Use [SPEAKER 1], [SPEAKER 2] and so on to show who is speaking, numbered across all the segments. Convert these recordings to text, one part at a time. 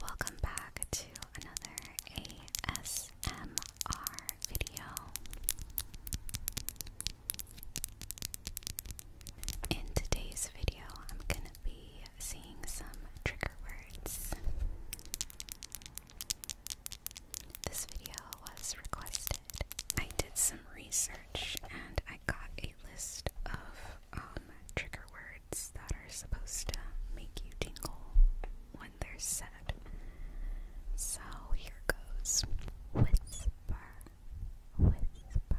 [SPEAKER 1] welcome back to another ASMR video. In today's video, I'm gonna be seeing some trigger words. This video was requested. I did some research and I got a list of um, trigger words that are supposed to make you tingle when they're said. So here goes whisper, whisper,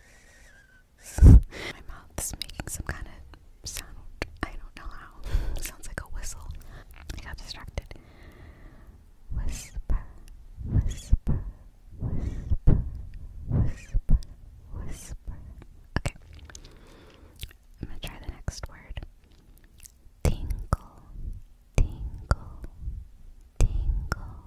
[SPEAKER 1] My mouth's making some kind of sound. I don't know how. sounds like a whistle. I got distracted. Whisper, whisper, whisper, whisper, whisper. Okay. I'm gonna try the next word. Tingle, tingle, tingle,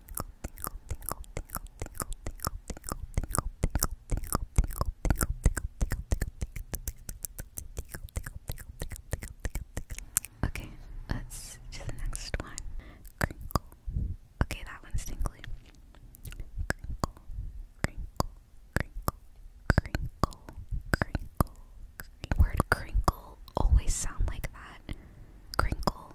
[SPEAKER 1] Okay, let's do the next one. Crinkle. Okay, that one's tingly. Crinkle, crinkle, crinkle, crinkle, crinkle. crinkle. Word crinkle always sound like that. Crinkle,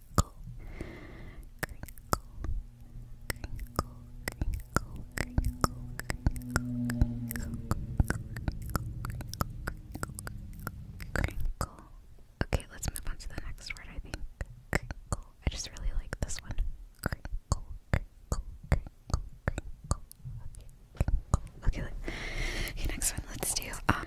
[SPEAKER 1] crinkle, crinkle, crinkle, crinkle, crinkle, crinkle, crinkle, crinkle. Okay, let's move on to the next word. I think crinkle. I just really like this one. Crinkle, crinkle, crinkle, crinkle. Okay, Okay, okay. Next one. Let's do. Um,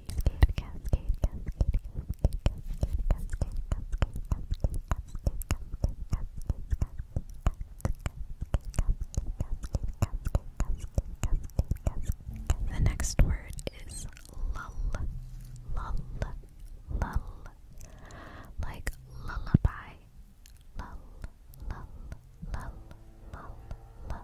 [SPEAKER 1] cascade, cascade, the next word is lull, lull, lull,
[SPEAKER 2] like lullaby, lull, lull, lull, lull, lull,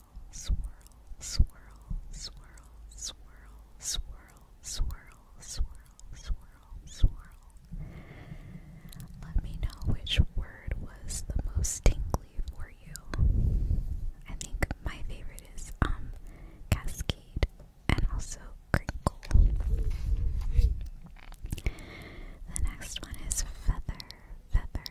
[SPEAKER 1] swirl, swirl, swirl, swirl, swirl, swirl, swirl, swirl, swirl. Let me know which word was the most tingly for you. I think my favorite is um cascade and also crinkle. The next one is feather, feather,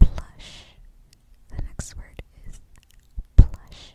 [SPEAKER 2] Plush. The next word is plush.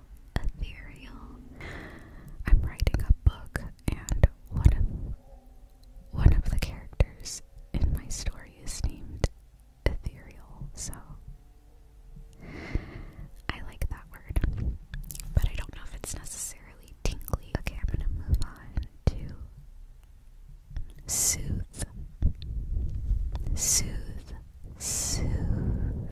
[SPEAKER 1] ethereal. I'm writing a book, and one of one of the characters in my story is named ethereal. So I like that word, but I don't know if it's necessarily tingly. Okay, I'm gonna move on to soothe, soothe, soothe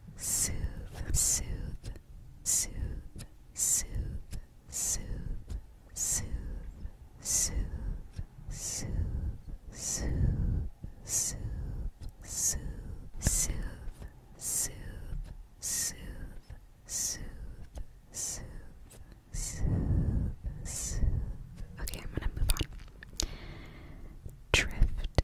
[SPEAKER 1] soothe, soothe, soothe, soothe, soothe, soothe, soothe, soothe, soothe, soothe, soothe, soothe, soothe, soothe, soothe, soothe, soothe, soothe. Okay, I'm gonna move on. Drift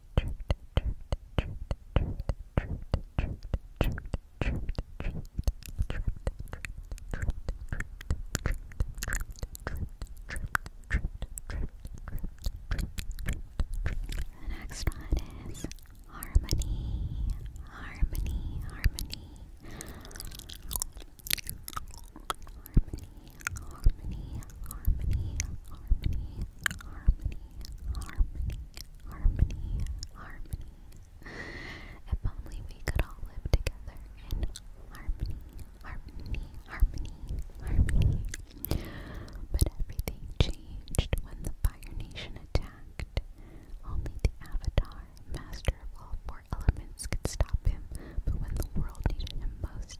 [SPEAKER 1] The next one is harmony, harmony, harmony, harmony, harmony, harmony, harmony, harmony, harmony, harmony. If only we could all live together in harmony, harmony, harmony, harmony. But everything changed when the Fire Nation attacked. Only the Avatar, master of all four elements, could stop him, but when the world needed him most,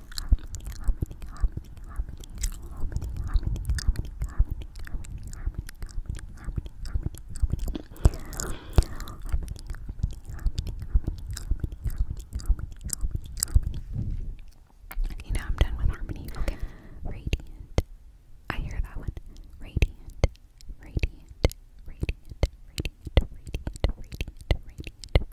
[SPEAKER 1] Okay, now I'm done with harmony. Okay. Radiant. I hear that one. Radiant. Radiant. Radiant. Radiant. Radiant. Radiant. Radiant.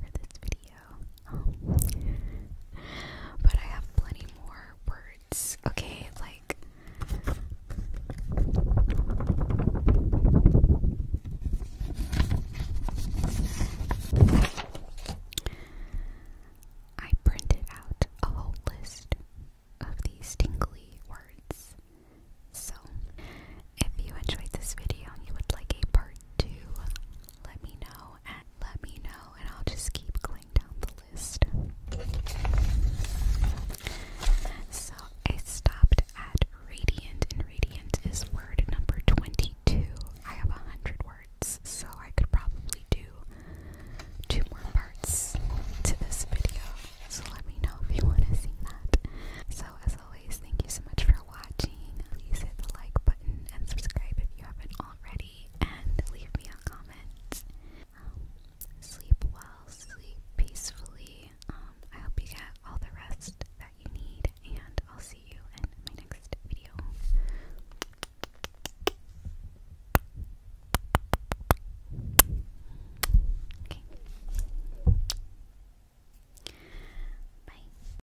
[SPEAKER 1] for this video. but I have plenty more words, okay? Like. I printed out a whole list of these tingly words. So, if you enjoyed this video and you would like a part two, let me know and let me know and I'll just keep going down the list. So I stopped at radiant and radiant is word number 22. I have 100 words, so I could probably do two more parts to this video. So let me know if you want to see that. So as always, thank you so much for watching. Please hit the like button and subscribe if you haven't already, and leave me a comment. Um, sleep well, sleep peacefully. Um, I hope you get all the rest that you need, and I'll see you in my next video. Okay. Bye.